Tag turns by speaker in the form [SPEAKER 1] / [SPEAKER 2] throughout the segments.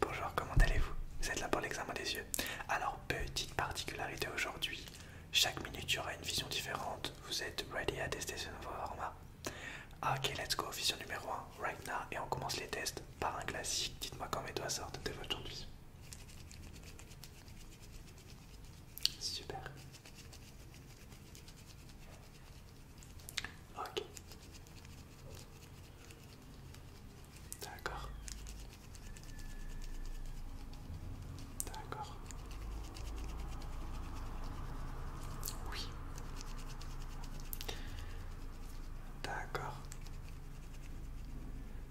[SPEAKER 1] Bonjour, comment allez-vous Vous êtes là pour l'examen des yeux. Alors, petite particularité aujourd'hui, chaque minute il y aura une vision différente. Vous êtes ready à tester ce nouveau format Ok, let's go, vision numéro 1, right now, et on commence les tests par un classique. Dites-moi quand mes doigts sortent de votre vision. Super. Ok. D'accord. D'accord. Oui. D'accord.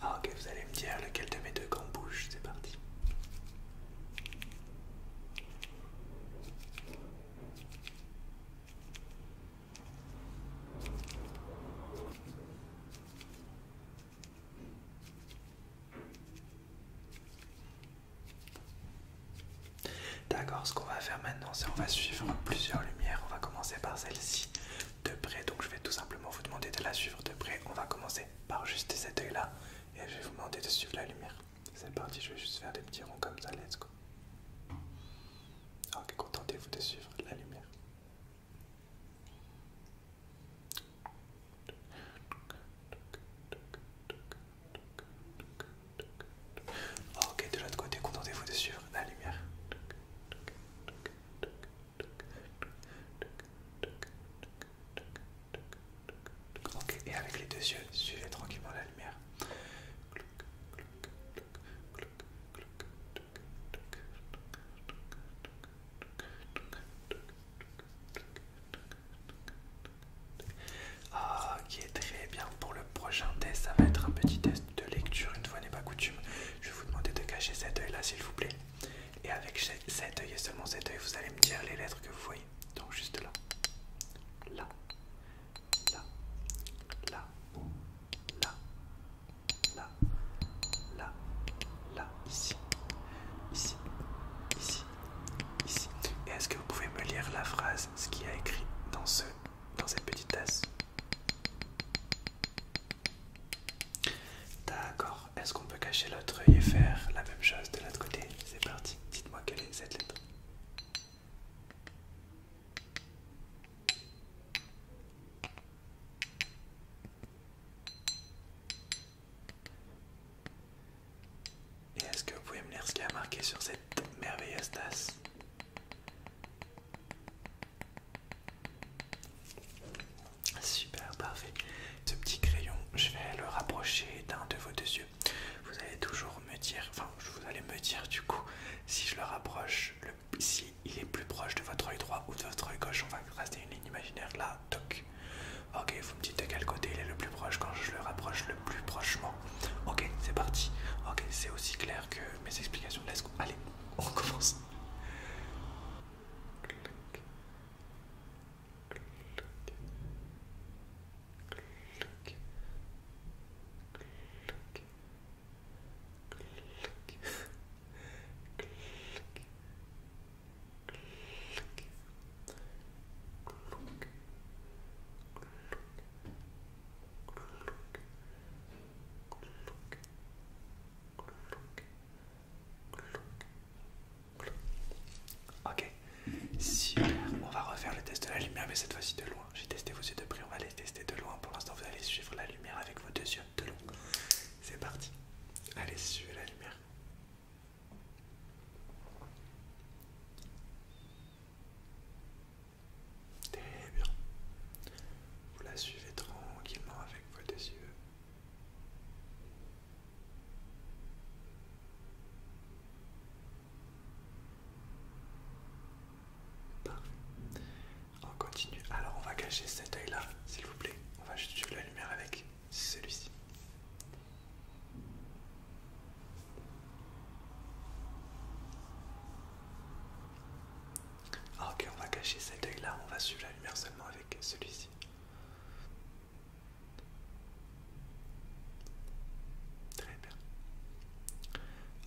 [SPEAKER 1] Ah, ok, vous allez me dire lequel de mes deux gants bouge, c'est parti. D'accord, ce qu'on va faire maintenant, c'est on va suivre plusieurs lumières. On va commencer par celle-ci de près. Donc je vais tout simplement vous demander de la suivre de près. On va commencer par juste cet œil-là et je vais vous demander de suivre la lumière. C'est parti, je vais juste faire des petits ronds comme ça, let's go. Ah, ok, contentez-vous de suivre la lumière. Ah, ok, de l'autre côté, contentez-vous de suivre la lumière. Ok, et avec les deux yeux, suivez tranquillement la lumière. Ah, qui très bien pour le prochain test. Ça va être un petit test de lecture, une fois n'est pas coutume. Je vais vous demander de cacher cet œil là, s'il vous plaît. Et avec cet œil et seulement cet œil, vous allez me dire les lettres que vous voyez. Donc, juste là. Là là, là, là, là, là, là, ici, ici, ici, ici. Et est-ce que vous pouvez me lire la phrase, ce qu'il y a écrit dans, ce, dans cette petite tasse D'accord, est-ce qu'on peut cacher l'autre œil et faire la même chose de l'autre côté C'est parti, dites-moi quelle est cette lettre et est-ce que vous pouvez me lire ce qu'il y a marqué sur cette merveilleuse tasse Super, parfait. Ce petit crayon, je vais le rapprocher d'un de vos deux yeux vous allez toujours me dire, enfin vous allez me dire du coup si je le rapproche, le, si il est plus proche de votre œil droit ou de votre œil gauche, on va tracer une ligne imaginaire là, toc. Ok, vous me dites de quel côté il est le plus proche quand je le rapproche le plus prochement. Ok, c'est parti. Ok, c'est aussi clair que mes explications de Allez, on commence. Ok, super. On va refaire le test de la lumière, mais cette fois-ci de loin. J'ai testé vos de près, on va tester de loin. Pour l'instant, vous allez suivre la lumière avec vos deux yeux de loin. C'est parti. Allez, suivez la lumière. Très bien. Vous la suivez tranquillement avec vos deux yeux. Bah, on continue. Alors on va cacher cet œil là, s'il vous plaît. On va suivre la lumière avec celui-ci. Ah, ok, on va cacher cet œil là, on va suivre la lumière seulement avec celui-ci. Très bien.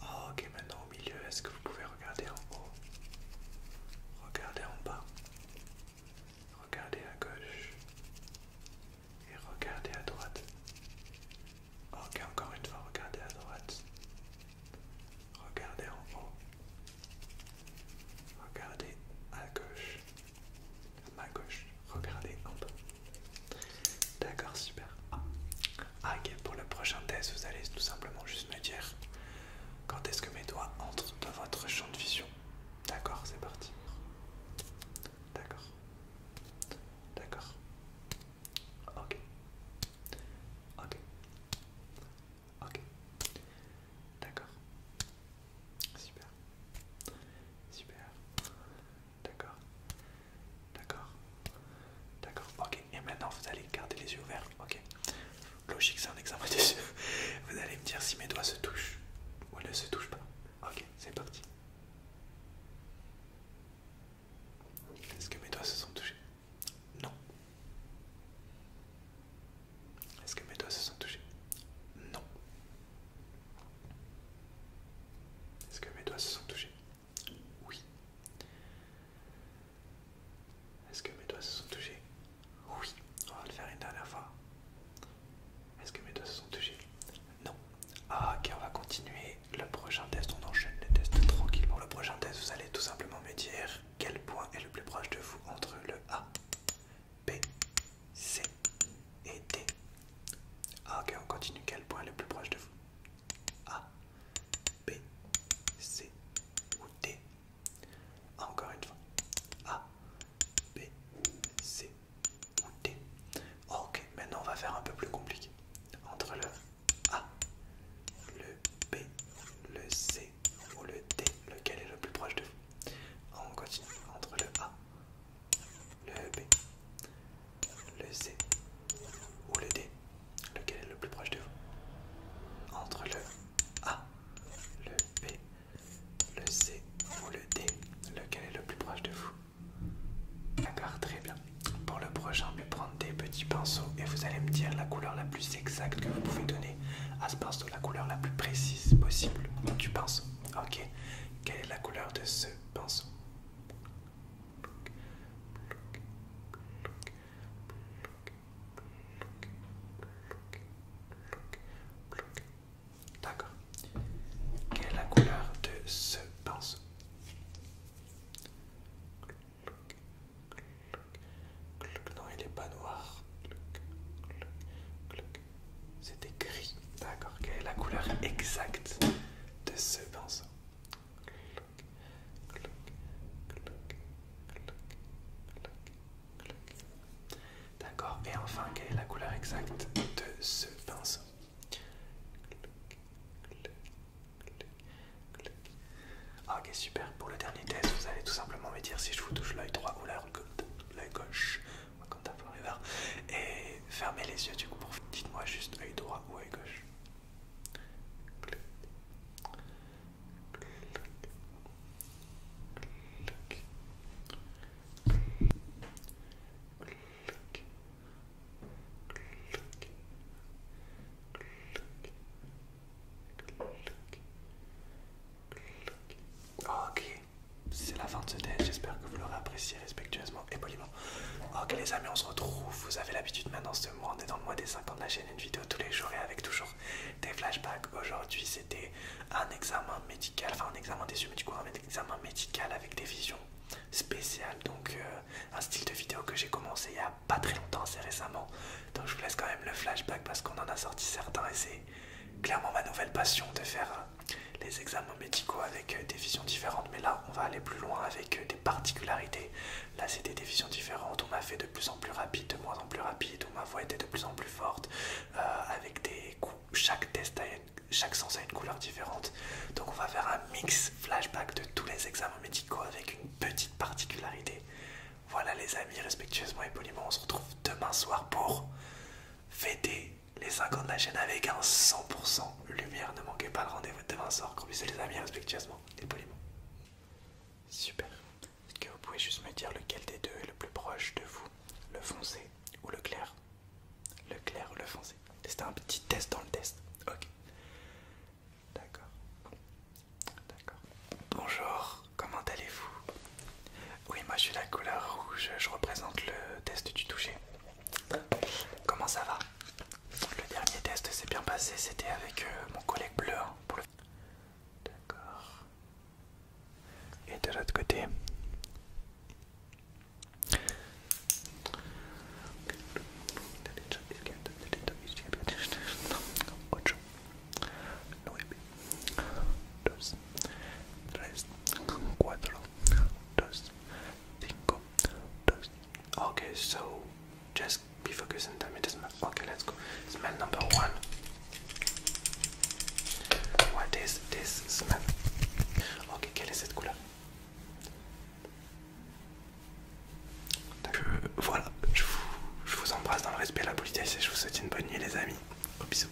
[SPEAKER 1] Ah, ok, maintenant au milieu, est-ce que vous pouvez regarder en haut Regardez en bas. Regardez à gauche. Et regardez à droite. Ok, encore une fois, regardez à droite. Regardez en haut. Regardez à gauche. À ma gauche. Regardez en bas. D'accord, super. Ah, ok, pour le prochain test, vous allez tout simplement juste me dire quand est-ce que mes doigts entrent dans votre champ de vision. D'accord, c'est parti. D'accord. D'accord. Ok. Ok. Ok. D'accord. Super. Super. D'accord D'accord D'accord, ok. Et maintenant, vous allez garder les yeux ouverts. Ok. Logique, c'est un examen des yeux. Vous allez me dire si mes doigts se touchent ou ne se touchent pas. Ok, c'est parti. Est-ce que mes doigts se sont touchés Non. Est-ce que mes doigts se sont touchés Non. Est-ce que mes doigts se sont touchés oui. Est-ce que mes doigts se sont touchés Oui. On va le faire une dernière fois. Est-ce que mes doigts se sont touchés Non. Ah, ok, on va continuer. Le prochain test, on enchaîne les tests tranquillement. Le prochain test, vous allez tout simplement me dire quel point est le plus proche de vous entre le A, B, C et D. Ah, ok, on continue. Quel point est le plus proche de vous A, B, C ou D Encore une fois. A, B, C ou D. Ok, maintenant on va faire un peu plus compliqué. Entre le A, le B, le C ou le D, lequel est le plus proche de vous On continue. Entre le A, le B, le C ou le D Lequel est le plus proche de vous Entre le A, le B, le C ou le D Lequel est le plus proche de vous D'accord, très bien. Pour le prochain, je vais prendre des petits pinceaux et vous allez me dire la couleur la plus exacte que vous pouvez donner à ce pinceau, la couleur la plus précise possible du pinceau. Ok, quelle est la couleur de ce pinceau D'accord. Quelle est la couleur de ce pinceau Non, il n'est pas noir. C'était gris. D'accord. Quelle est la couleur exacte de ce pinceau. D'accord, et enfin, quelle est la couleur exacte de ce pinceau ah, Ok, super. Pour le dernier test, vous allez tout simplement me dire si je vous touche l'œil droit ou l'œil gauche. Et fermez les yeux du coup pour dites-moi juste œil droit ou gauche c'est la fin de ce test. J'espère que vous l'aurez apprécié respectueusement et poliment. Ok oh, les amis, on se retrouve. Vous avez l'habitude maintenant ce mois, on est dans le mois des 50 de la chaîne, une vidéo tous les jours et avec toujours des flashbacks. Aujourd'hui c'était un examen médical, enfin un examen des yeux, mais du coup un examen médical avec des visions spéciales. Donc euh, un style de vidéo que j'ai commencé il y a pas très longtemps, c'est récemment. Donc je vous laisse quand même le flashback parce qu'on en a sorti certains et c'est clairement ma nouvelle passion de faire les examens médicaux avec euh, des visions différentes, mais là on va aller plus loin avec euh, des particularités. Là c'était des visions différentes, on m'a fait de plus en plus rapide, de moins en plus rapide, où ma voix était de plus en plus forte, euh, avec des coups, chaque test a une, chaque sens a une couleur différente. Donc on va faire un mix flashback de tous les examens médicaux avec une petite particularité. Voilà les amis, respectueusement et poliment, on se retrouve demain soir pour fêter les 50 de la chaîne avec un 100% lumière. Ne manquez pas le rendez-vous de Vincent. puisse les amis respectueusement et poliment. Super. Est-ce que vous pouvez juste me dire lequel des deux est le plus proche de vous Le foncé ou le clair Le clair ou le foncé C'était un petit test dans le test. Ok. D'accord. D'accord. Bonjour, comment allez-vous Oui, moi je suis la couleur rouge, je représente le test du toucher. Comment ça va Le dernier test s'est bien passé, c'était avec euh, mon collègue bleu. D'accord. Et de l'autre côté. Ok, donc, juste Okay, so just be focused on time. It doesn't matter. Okay, let's go. Smell number one. What is this smell? Ok, quelle est cette couleur euh, Voilà, je vous, je vous embrasse dans le respect et la politesse et je vous souhaite une bonne nuit les amis. Au bisous.